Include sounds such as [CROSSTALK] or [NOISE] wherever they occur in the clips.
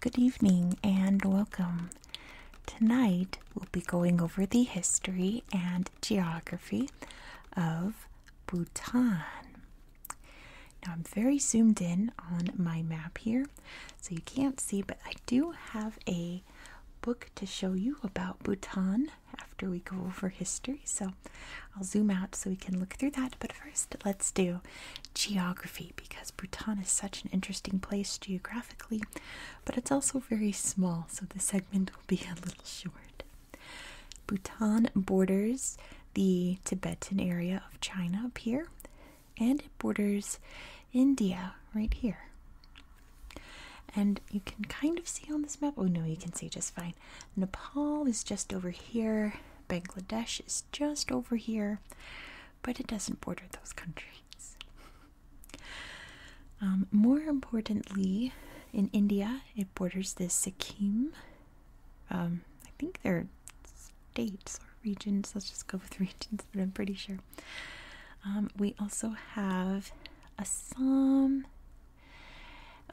Good evening and welcome. Tonight we'll be going over the history and geography of Bhutan. Now I'm very zoomed in on my map here, so you can't see, but I do have a book to show you about Bhutan after we go over history. So I'll zoom out so we can look through that. But first, let's do geography because Bhutan is such an interesting place geographically, but it's also very small. So the segment will be [LAUGHS] a little short. Bhutan borders the Tibetan area of China up here, and it borders India right here. And you can kind of see on this map, oh no, you can see just fine. Nepal is just over here, Bangladesh is just over here, but it doesn't border those countries. Um, more importantly, in India, it borders the Sikkim. Um, I think they're states or regions, let's just go with [LAUGHS] regions, but I'm pretty sure. Um, we also have Assam,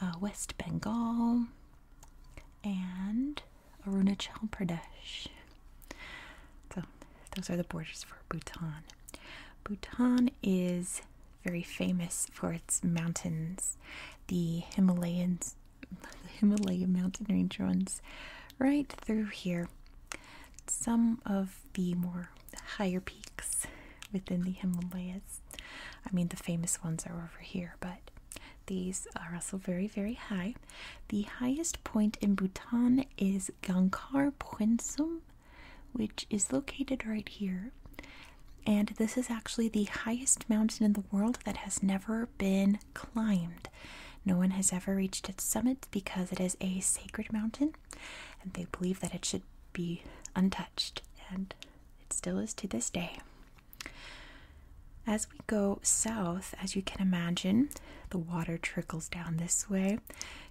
uh, West Bengal, and Arunachal Pradesh. So, those are the borders for Bhutan. Bhutan is very famous for its mountains, the Himalayas, the [LAUGHS] Himalayan mountain range runs right through here. Some of the more higher peaks within the Himalayas. I mean, the famous ones are over here, but these are also very, very high. The highest point in Bhutan is Gangkar Puensum, which is located right here. And this is actually the highest mountain in the world that has never been climbed. No one has ever reached its summit because it is a sacred mountain and they believe that it should be untouched, and it still is to this day. As we go south, as you can imagine, the water trickles down this way,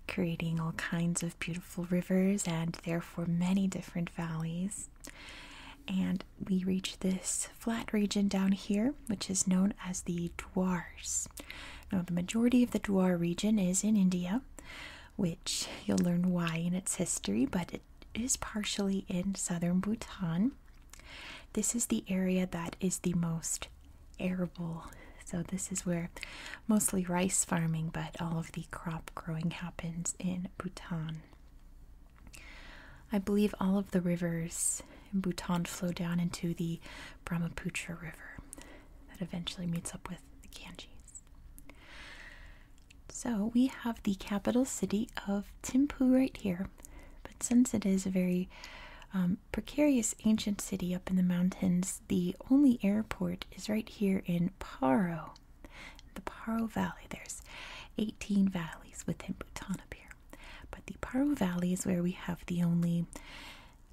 creating all kinds of beautiful rivers and therefore many different valleys. And we reach this flat region down here, which is known as the Dwars. Now, the majority of the Dwar region is in India, which you'll learn why in its history, but it is partially in southern Bhutan. This is the area that is the most arable. So, this is where mostly rice farming, but all of the crop growing happens in Bhutan. I believe all of the rivers in Bhutan flow down into the Brahmaputra River that eventually meets up with the Ganges. So we have the capital city of Thimphu right here, but since it is a very um, precarious ancient city up in the mountains, the only airport is right here in Paro, the Paro Valley. There's 18 valleys within Bhutan up here, but the Paro Valley is where we have the only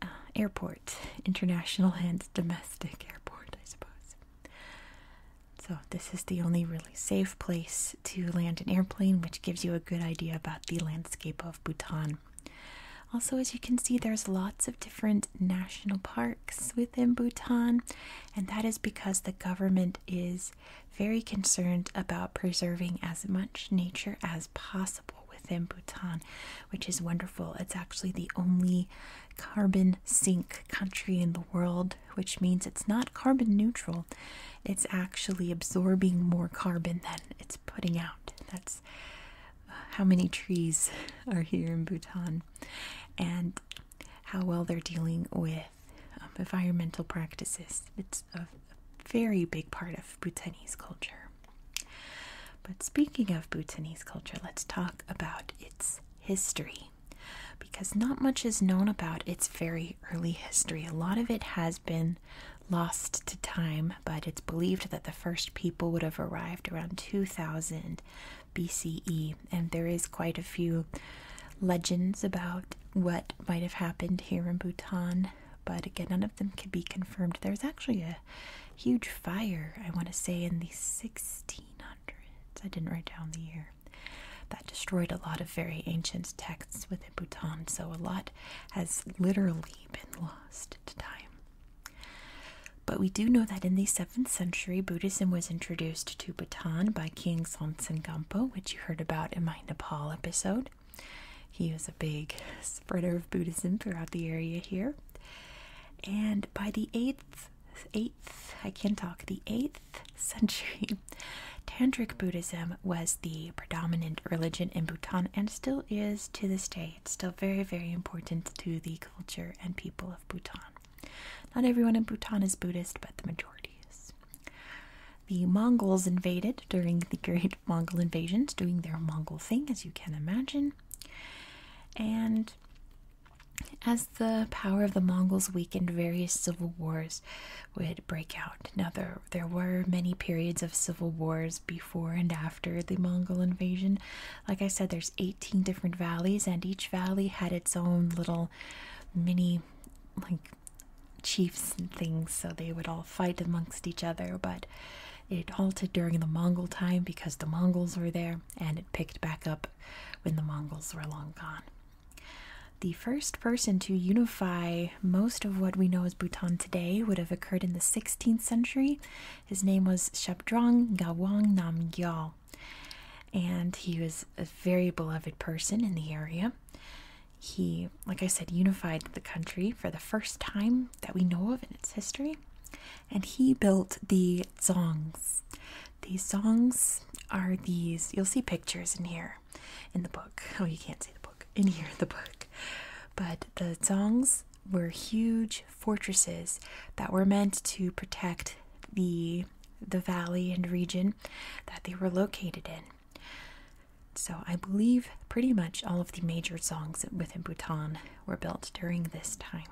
uh, airport, international and domestic airport, I suppose. So, this is the only really safe place to land an airplane, which gives you a good idea about the landscape of Bhutan. Also, as you can see, there's lots of different national parks within Bhutan, and that is because the government is very concerned about preserving as much nature as possible within Bhutan, which is wonderful. It's actually the only carbon sink country in the world, which means it's not carbon neutral. It's actually absorbing more carbon than it's putting out. That's uh, how many trees [LAUGHS] are here in Bhutan and how well they're dealing with um, environmental practices. It's a very big part of Bhutanese culture. But speaking of Bhutanese culture, let's talk about its history because not much is known about its very early history. A lot of it has been lost to time, but it's believed that the first people would have arrived around 2000 BCE, and there is quite a few legends about what might have happened here in Bhutan, but again, none of them can be confirmed. There's actually a huge fire, I want to say in the 1600s. I didn't write down the year. That destroyed a lot of very ancient texts within Bhutan, so a lot has literally been lost to time. But we do know that in the 7th century, Buddhism was introduced to Bhutan by King Sonsen Gampo, which you heard about in my Nepal episode. He was a big Spread of Buddhism throughout the area here. And by the 8th, 8th, I can talk, the 8th century, [LAUGHS] Tantric Buddhism was the predominant religion in Bhutan and still is to this day. still very, very important to the culture and people of Bhutan. Not everyone in Bhutan is Buddhist, but the majority is. The Mongols invaded during the [LAUGHS] Great Mongol invasions, doing their Mongol thing, as you can imagine. And as the power of the Mongols weakened, various civil wars would break out. Now, there, there were many periods of civil wars before and after the Mongol invasion. Like I said, there's 18 different valleys, and each valley had its own little mini, like, chiefs and things. So they would all fight amongst each other, but it halted during the Mongol time because the Mongols were there, and it picked back up when the Mongols were long gone. The first person to unify most of what we know as Bhutan today would have occurred in the 16th century. His name was Shabdrung Gawang Namgyal, and he was a very beloved person in the area. He, like I said, unified the country for the first time that we know of in its history, and he built the zongs. These zongs are these, you'll see pictures in here in the book. Oh, you can't see the book, in here [LAUGHS] the book. But the zongs were huge fortresses that were meant to protect the the valley and region that they were located in. So I believe pretty much all of the major zongs within Bhutan were built during this time.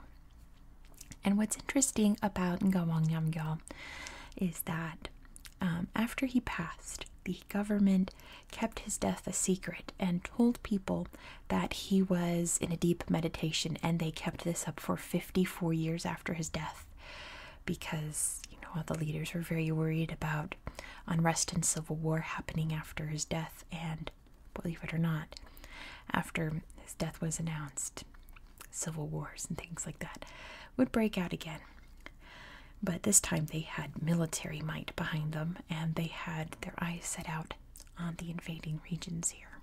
And what's interesting about Ngawang is that um, after he passed, the government kept his death a secret and told people that he was in a deep meditation, and they kept this up for 54 years after his death because you know all the leaders were very worried about unrest and civil war happening after his death and believe it or not, after his death was announced, civil wars and things like that would break out again. But this time they had military might behind them and they had their eyes set out on the invading regions here.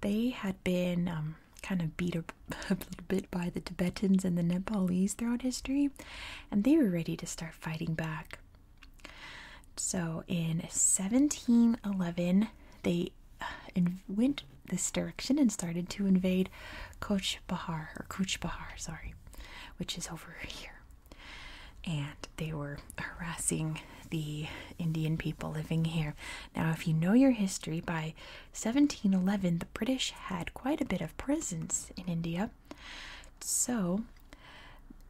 They had been um, kind of beat up [LAUGHS] a little bit by the Tibetans and the Nepalese throughout history, and they were ready to start fighting back. So in 1711, they uh, went this direction and started to invade Koch Bahar or Kuch Bahar, sorry, which is over here. And they were harassing the Indian people living here. Now, if you know your history, by 1711, the British had quite a bit of presence in India. So,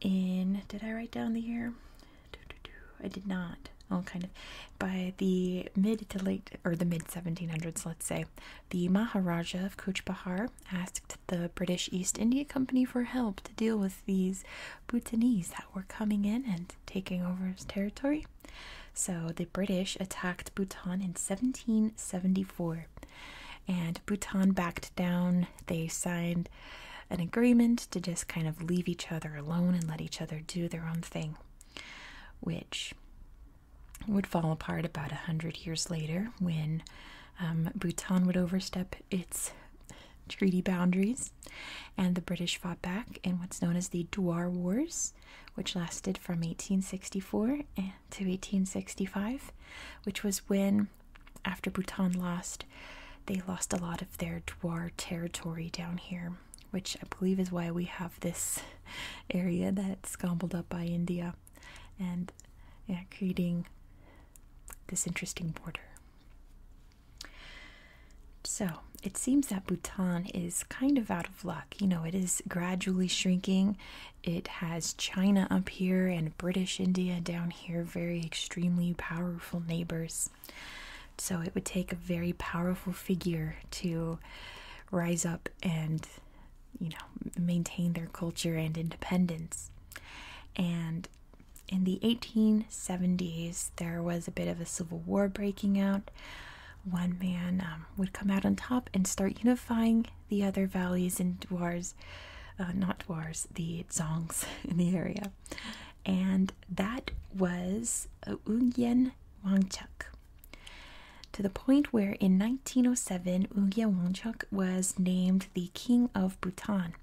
in did I write down the year? I did not. Oh, kind of. By the mid to late, or the mid 1700s, let's say, the Maharaja of Kuch Bahar asked the British East India Company for help to deal with these Bhutanese that were coming in and taking over his territory. So the British attacked Bhutan in 1774, and Bhutan backed down they signed an agreement to just kind of leave each other alone and let each other do their own thing, which would fall apart about a hundred years later when um, Bhutan would overstep its treaty boundaries and the British fought back in what's known as the Dwar Wars, which lasted from 1864 eh, to 1865, which was when after Bhutan lost, they lost a lot of their Dwar territory down here, which I believe is why we have this [LAUGHS] area that's gobbled up by India and yeah, creating this interesting border. So it seems that Bhutan is kind of out of luck. You know, it is gradually shrinking it has China up here and British India down here, very extremely powerful neighbors. So it would take a very powerful figure to rise up and, you know, maintain their culture and independence. And in the 1870s, there was a bit of a civil war breaking out. One man um, would come out on top and start unifying the other valleys and dwars, uh, not dwars, the zongs [LAUGHS] in the area. And that was Ugyen uh, Wangchuck. To the point where in 1907, Ugyen Wangchuck was named the King of Bhutan,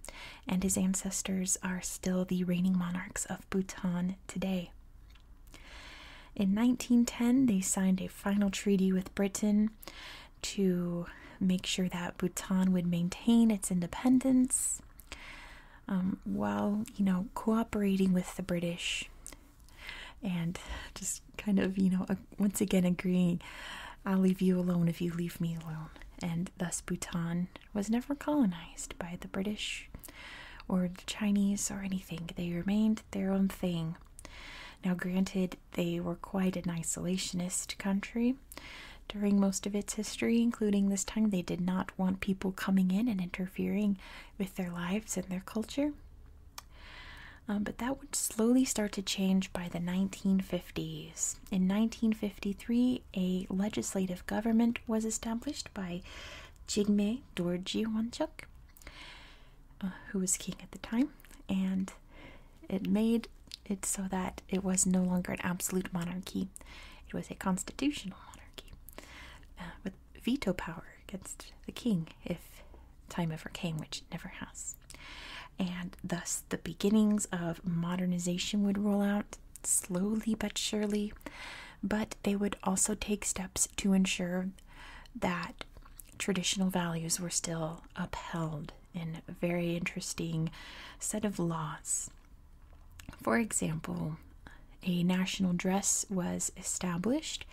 and his ancestors are still the reigning monarchs of Bhutan today. In 1910, they signed a final treaty with Britain, to make sure that Bhutan would maintain its independence um, while, you know, cooperating with the British and just kind of, you know, once again agreeing, I'll leave you alone if you leave me alone. And thus, Bhutan was never colonized by the British or the Chinese or anything. They remained their own thing. Now, granted, they were quite an isolationist country during most of its history, including this time. They did not want people coming in and interfering with their lives and their culture. Um, but that would slowly start to change by the 1950s. In 1953, a legislative government was established by Jigme Dorji Wanchuk, uh, who was king at the time, and it made it so that it was no longer an absolute monarchy, it was a constitutional monarchy uh, with veto power against the king if time ever came, which never has. And thus, the beginnings of modernization would roll out slowly but surely, but they would also take steps to ensure that traditional values were still upheld in a very interesting set of laws. For example, a national dress was established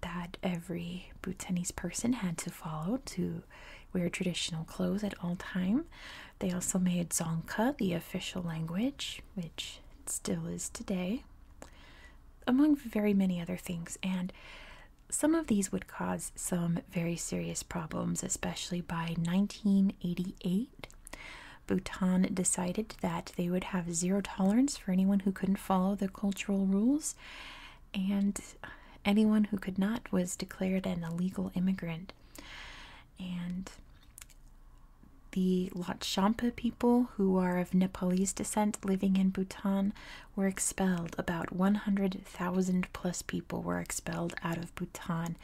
that every Bhutanese person had to follow to wear traditional clothes at all time. They also made Dzongkha the official language, which still is today, among very many other things. And some of these would cause some very serious problems, especially by 1988. Bhutan decided that they would have zero tolerance for anyone who couldn't follow the cultural rules, and anyone who could not was declared an illegal immigrant. And the Lhotchampa people, who are of Nepalese descent living in Bhutan, were expelled. About 100,000 plus people were expelled out of Bhutan.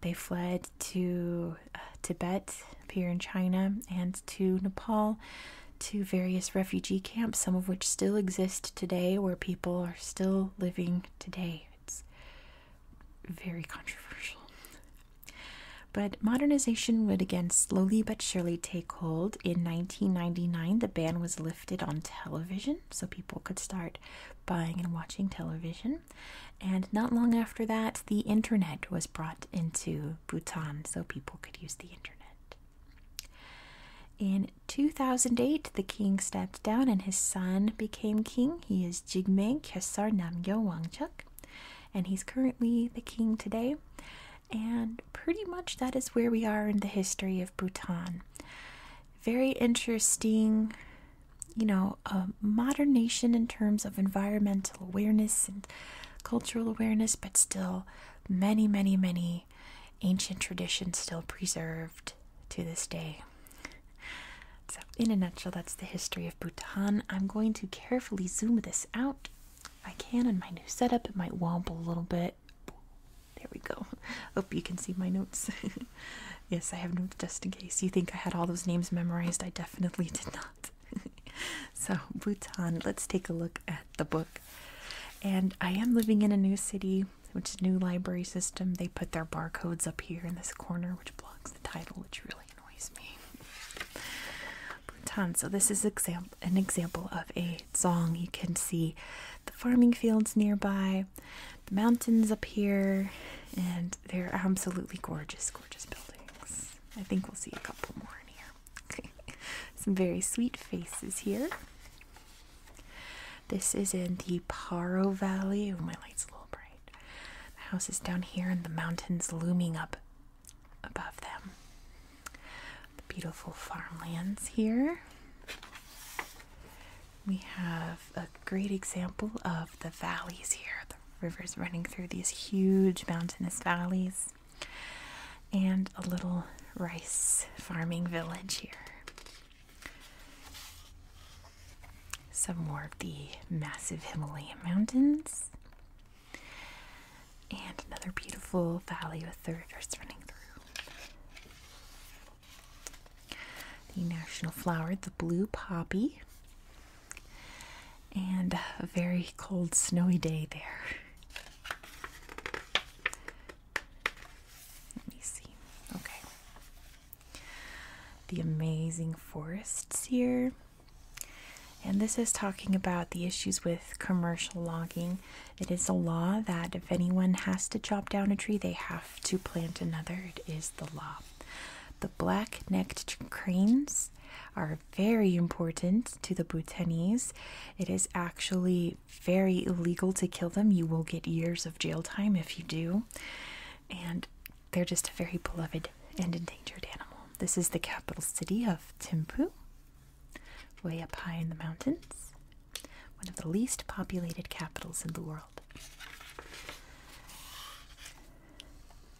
They fled to uh, Tibet, here in China, and to Nepal, to various refugee camps, some of which still exist today, where people are still living today. It's very controversial. But modernization would again slowly but surely take hold. In 1999, the ban was lifted lifted on television, so people could start buying and watching television. And not long after that, the internet was brought into Bhutan, so people could use the internet. In 2008, the king stepped down and his son became king. He is Jigme Khesar Namgyo Wangchuck, and he's currently the king today. And pretty much that is where we are in the history of Bhutan. Very interesting, you know, a modern nation in terms of environmental awareness and cultural awareness, but still many, many, many ancient traditions still preserved to this day. So, in a nutshell, that's the history of Bhutan. I'm going to carefully zoom this out. I can on my new setup, it might wobble a little bit. There we go. [LAUGHS] Oh, you can see my notes. [LAUGHS] yes, I have notes just in case. You think I had all those names memorized? I definitely did not. [LAUGHS] so, Bhutan, let's take a look at the book. And I am living in a new city, which is new library system. They put their barcodes up here in this corner, which blocks the title, which really annoys me. Bhutan, so this is example an example of a song. You can see the farming fields nearby, the mountains up here, and they're absolutely gorgeous, gorgeous buildings. I think we'll see a couple more in here. [LAUGHS] Some very sweet faces here. This is in the Paro Valley. Oh, my light's a little bright. The house is down here and the mountains looming up above them. The beautiful farmlands here. We have a great example of the valleys here. The rivers running through these huge mountainous valleys. And a little rice farming village here. Some more of the massive Himalayan mountains and another beautiful valley with the rivers running through. The national flower, the blue poppy, and a very cold, snowy day there. Let me see. Okay. The amazing forests here. And this is talking about the issues with commercial logging it is a law that if anyone has to chop down a tree, they have to plant another. It is the law. The black necked cranes are very important to the Bhutanese. It is actually very illegal to kill them. You will get years of jail time if you do. And they're just a very beloved and endangered animal. This is the capital city of Thimphu way up high in the mountains, one of the least populated capitals in the world.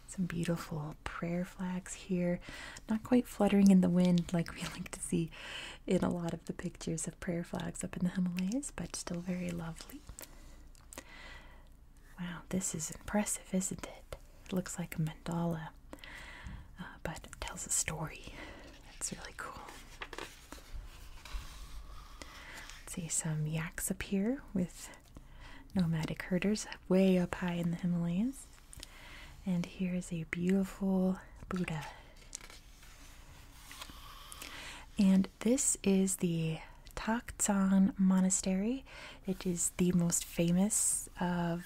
Some beautiful prayer flags here, not quite fluttering in the wind like we [LAUGHS] like to see in a lot of the pictures of prayer flags up in the Himalayas, but still very lovely. Wow, this is impressive, isn't it? It looks like a mandala uh, but it tells a story. It's really cool. see some yaks up here with nomadic herders way up high in the Himalayas. And here is a beautiful Buddha. And this is the Taktsang Monastery. It is the most famous of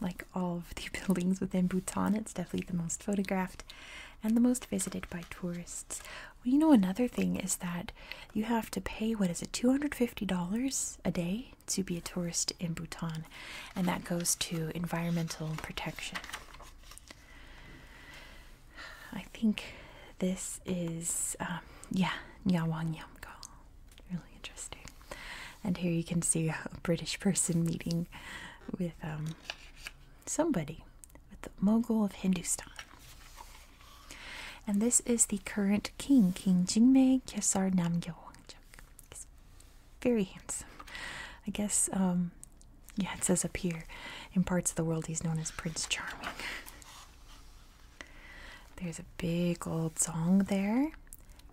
like all of the [LAUGHS] buildings within Bhutan. It's definitely the most photographed and the most visited by tourists. you know, another thing is that you have to pay what is it, $250 a day to be a tourist in Bhutan, and that goes to environmental protection. I think this is, um, yeah, Nyawang Yamgal. Really interesting and here you can see a British person meeting with um, somebody, with the mogul of Hindustan. And this is the current king, King Jingmei Kyesar Namgyal Wangchuk. He's very handsome. I guess, um, yeah, it says up here, in parts of the world he's known as Prince Charming. There's a big old song there.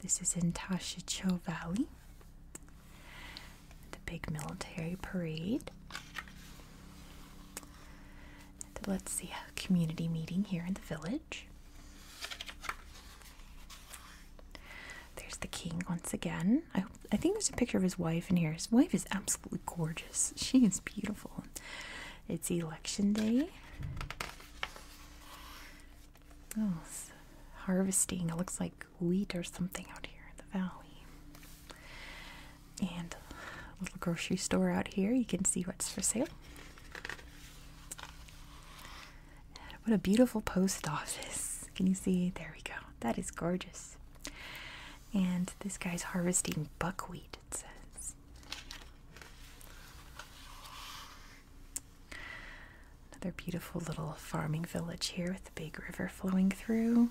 This is in Tashicho Valley the big military parade. let's see a community meeting here in the village. There's the king once again. I, I think there's a picture of his wife in here. His wife is absolutely gorgeous. [LAUGHS] She is beautiful. It's election day. Oh, harvesting. It looks like wheat or something out here in the valley. And a little grocery store out here. You can see what's for sale. What a beautiful post office. Can you see? There we go. That is gorgeous. And this guy's harvesting buckwheat, it says. Another beautiful little farming village here with the big river flowing through.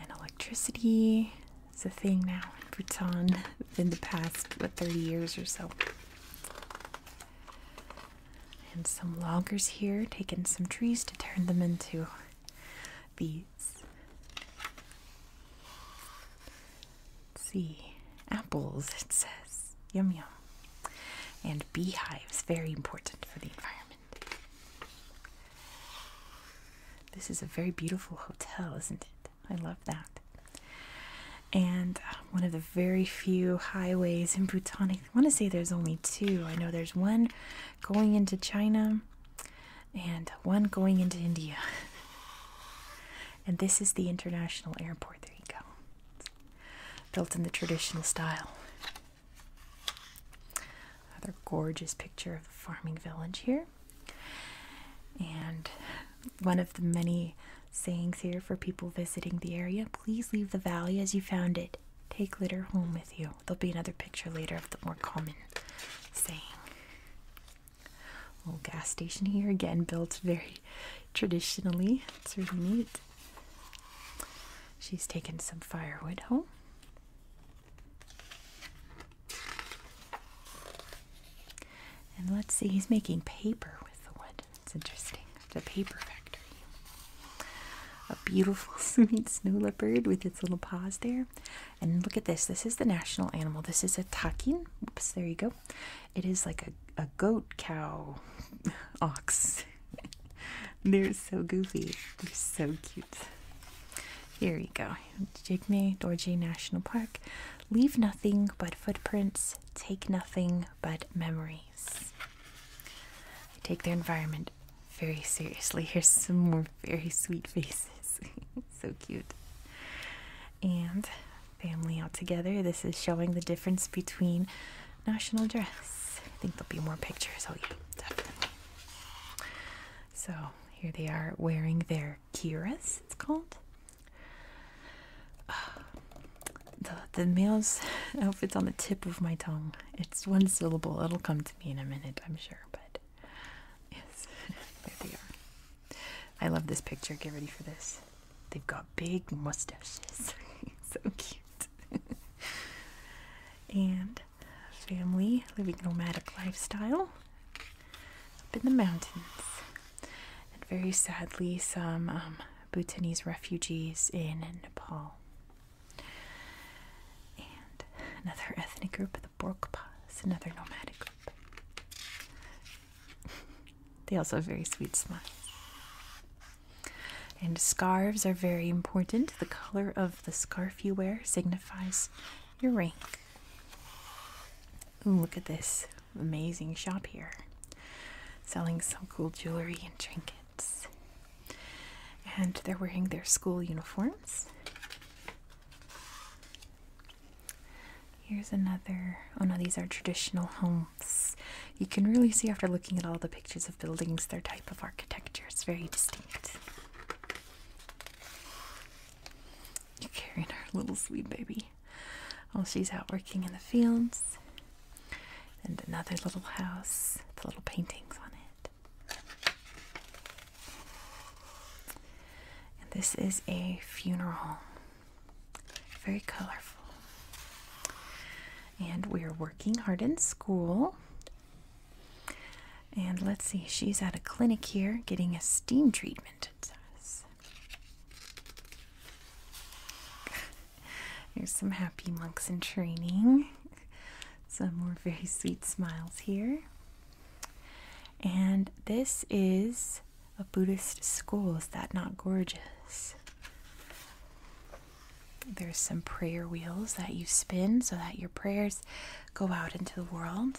And electricity its a thing now in Bhutan in the past, what, 30 years or so. And some loggers here taking some trees to turn them into beads see. Apples, it says. Yum yum. And beehives, very important for the environment. This is a very beautiful hotel, isn't it? I love that. And uh, one of the very few highways in Bhutan. I want to say there's only two. I know there's one going into China and one going into India. [LAUGHS] And this is the international airport. There you go built in the traditional style. Another gorgeous picture of the farming village here. And one of the many sayings here for people visiting the area please leave the valley as you found it. Take litter home with you. There'll be another picture later of the more common saying. Old gas station here, again built very traditionally. It's really neat. She's taking some firewood home. And let's see, he's making paper with the wood. It's interesting. The paper factory. A beautiful, [LAUGHS] sweet snow leopard with its little paws there. And look at this. This is the national animal. This is a takin. Oops, there you go. It is like a, a goat, cow, [LAUGHS] ox. [LAUGHS] They're so goofy. They're so cute. Here you go. Jigme Dorje National Park. Leave nothing but footprints. Take nothing but memories. They take their environment very seriously. Here's some more very sweet faces. [LAUGHS] so cute. And family out together. This is showing the difference between national dress. I think there'll be more pictures. Oh, yeah, definitely. So here they are wearing their kiras, it's called. Uh, [SIGHS] the, the male's [LAUGHS] outfit's on the tip of my tongue. It's one syllable. It'll come to me in a minute, I'm sure. But yes, [LAUGHS] there they are. I love this picture. Get ready for this. They've got big mustaches. [LAUGHS] so cute. [LAUGHS] and family living nomadic lifestyle up in the mountains. And very sadly, some um, Bhutanese refugees in Nepal. And another ethnic group, the Borkpa. Borkpas, another nomadic group. [LAUGHS] They also have very sweet smiles. And scarves are very important. The color of the scarf you wear signifies your rank. look at this amazing shop here. Selling some cool jewelry and trinkets. And they're wearing their school uniforms. Here's another. Oh no, these are traditional homes. You can really see after looking at all the pictures of buildings their type of architecture. It's very distinct. You're carrying our little sweet baby while she's out working in the fields. And another little house with little paintings on it. And this is a funeral home. Very colorful. And we're working hard in school. And let's see, she's at a clinic here getting a steam treatment, [LAUGHS] There's some happy monks in training. [LAUGHS] Some more very sweet smiles here. And this is a Buddhist school. Is that not gorgeous? There's some prayer wheels that you spin so that your prayers go out into the world.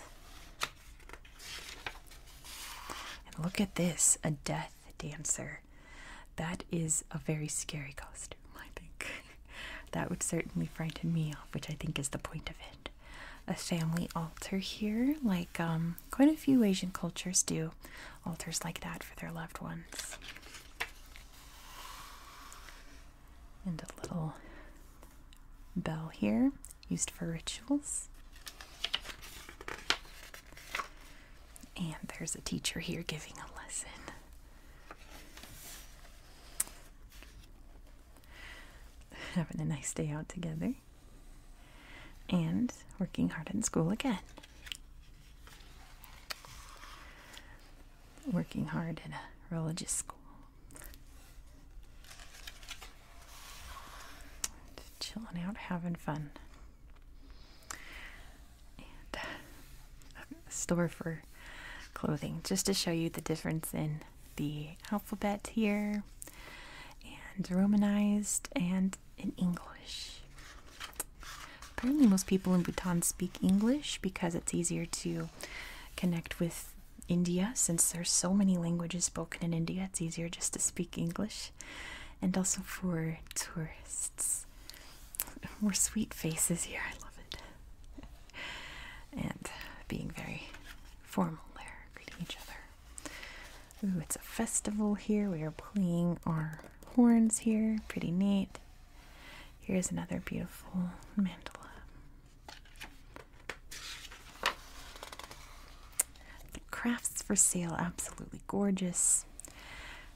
And look at this a death dancer. That is a very scary costume, I think. [LAUGHS] that would certainly frighten me off, which I think is the point of it. A family altar here, like um quite a few Asian cultures do altars like that for their loved ones. And a little bell here, used for rituals. And there's a teacher here giving a lesson. [LAUGHS] Having a nice day out together and working hard in school again. Working hard in a religious school. Chilling out, having fun. And um, a store for clothing, just to show you the difference in the alphabet here and romanized and in English. Apparently, most people in Bhutan speak English because it's easier to connect with India since there's so many languages spoken in India, it's easier just to speak English. And also for tourists. More [LAUGHS] sweet faces here, I love it. [LAUGHS] and being very formal there, greeting each other. Ooh, it's a festival here. We are playing our horns here. Pretty neat. Here's another beautiful mandala. The crafts for sale, absolutely gorgeous.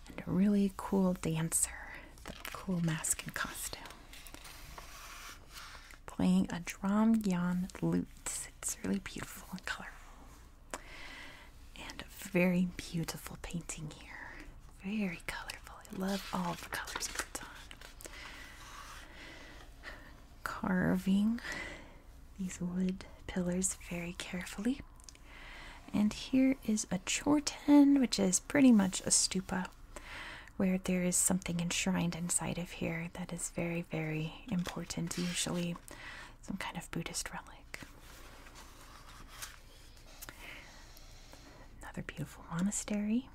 And a really cool dancer, the cool mask and costume. Playing a drum yon lute it's really beautiful and colorful. And a very beautiful painting here. Very colorful. I love all the colors it's on. Carving these wood pillars very carefully. And here is a chorten, which is pretty much a stupa, where there is something enshrined inside of here that is very, very important, usually some kind of Buddhist relic. Another beautiful monastery.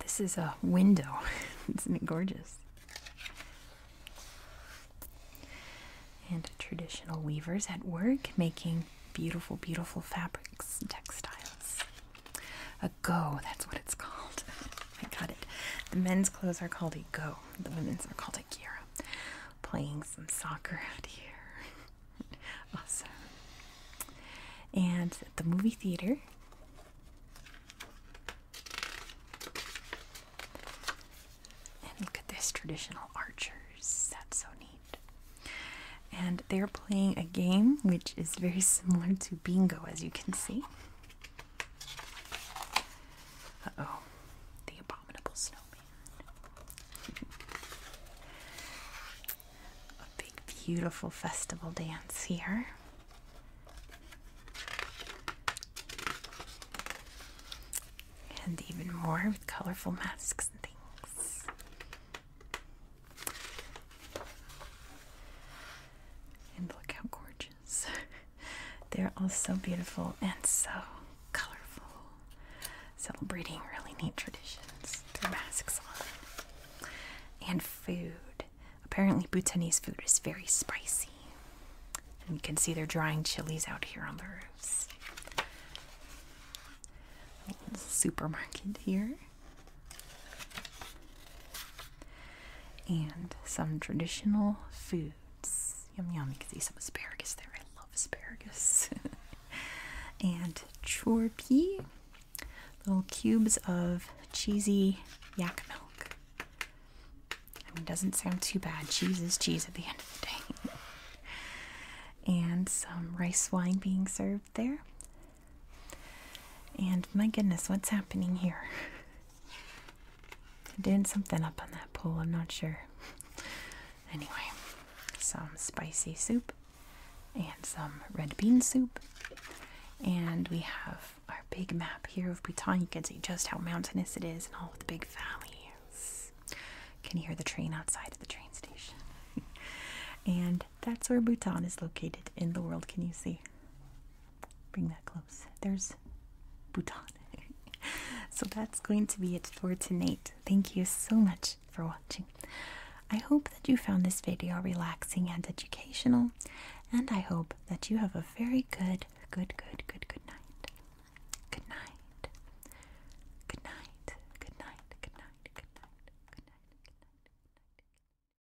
This is a window. [LAUGHS] Isn't it gorgeous? And traditional weavers at work making beautiful, beautiful fabrics textiles. A go, that's what it's called. [LAUGHS] I got it. The men's clothes are called a go, the women's are called a gira. Playing some soccer out here. [LAUGHS] awesome. And the movie theater, and look at this traditional archers. That's so neat. And they're playing a game which is very similar to bingo, as you can see. Uh oh, the abominable snowman. A big, beautiful festival dance here. And even more with colorful masks and things. And look how gorgeous. [LAUGHS] They're all so beautiful and so colorful. Celebrating really neat traditions masks on. And food. Apparently, Bhutanese food is very spicy. And you can see they're drying chilies out here on the roofs. Supermarket here. And some traditional foods. Yum yum, you can see some asparagus there. I love asparagus. [LAUGHS] and chorpy, little cubes of cheesy yak milk. I mean, doesn't sound too bad. Cheese is cheese at the end of the day. [LAUGHS] and some rice wine being served there. And my goodness, what's happening here? [LAUGHS] Doing something up on that pole, I'm not sure. [LAUGHS] Anyway, some spicy soup and some red bean soup. And we have our big map here of Bhutan. You can see just how mountainous it is and all of the big valleys. Can you hear the train outside of the train station? [LAUGHS] and that's where Bhutan is located in the world. Can you see? bring that close. There's Bhutan. [LAUGHS] so that's going to be it for tonight. Thank you so much for watching. I hope that you found this video relaxing and educational, and I hope that you have a very good, good, good, good, good night. Good night. Good night. Good night. Good night. Good night. Good night. Good night.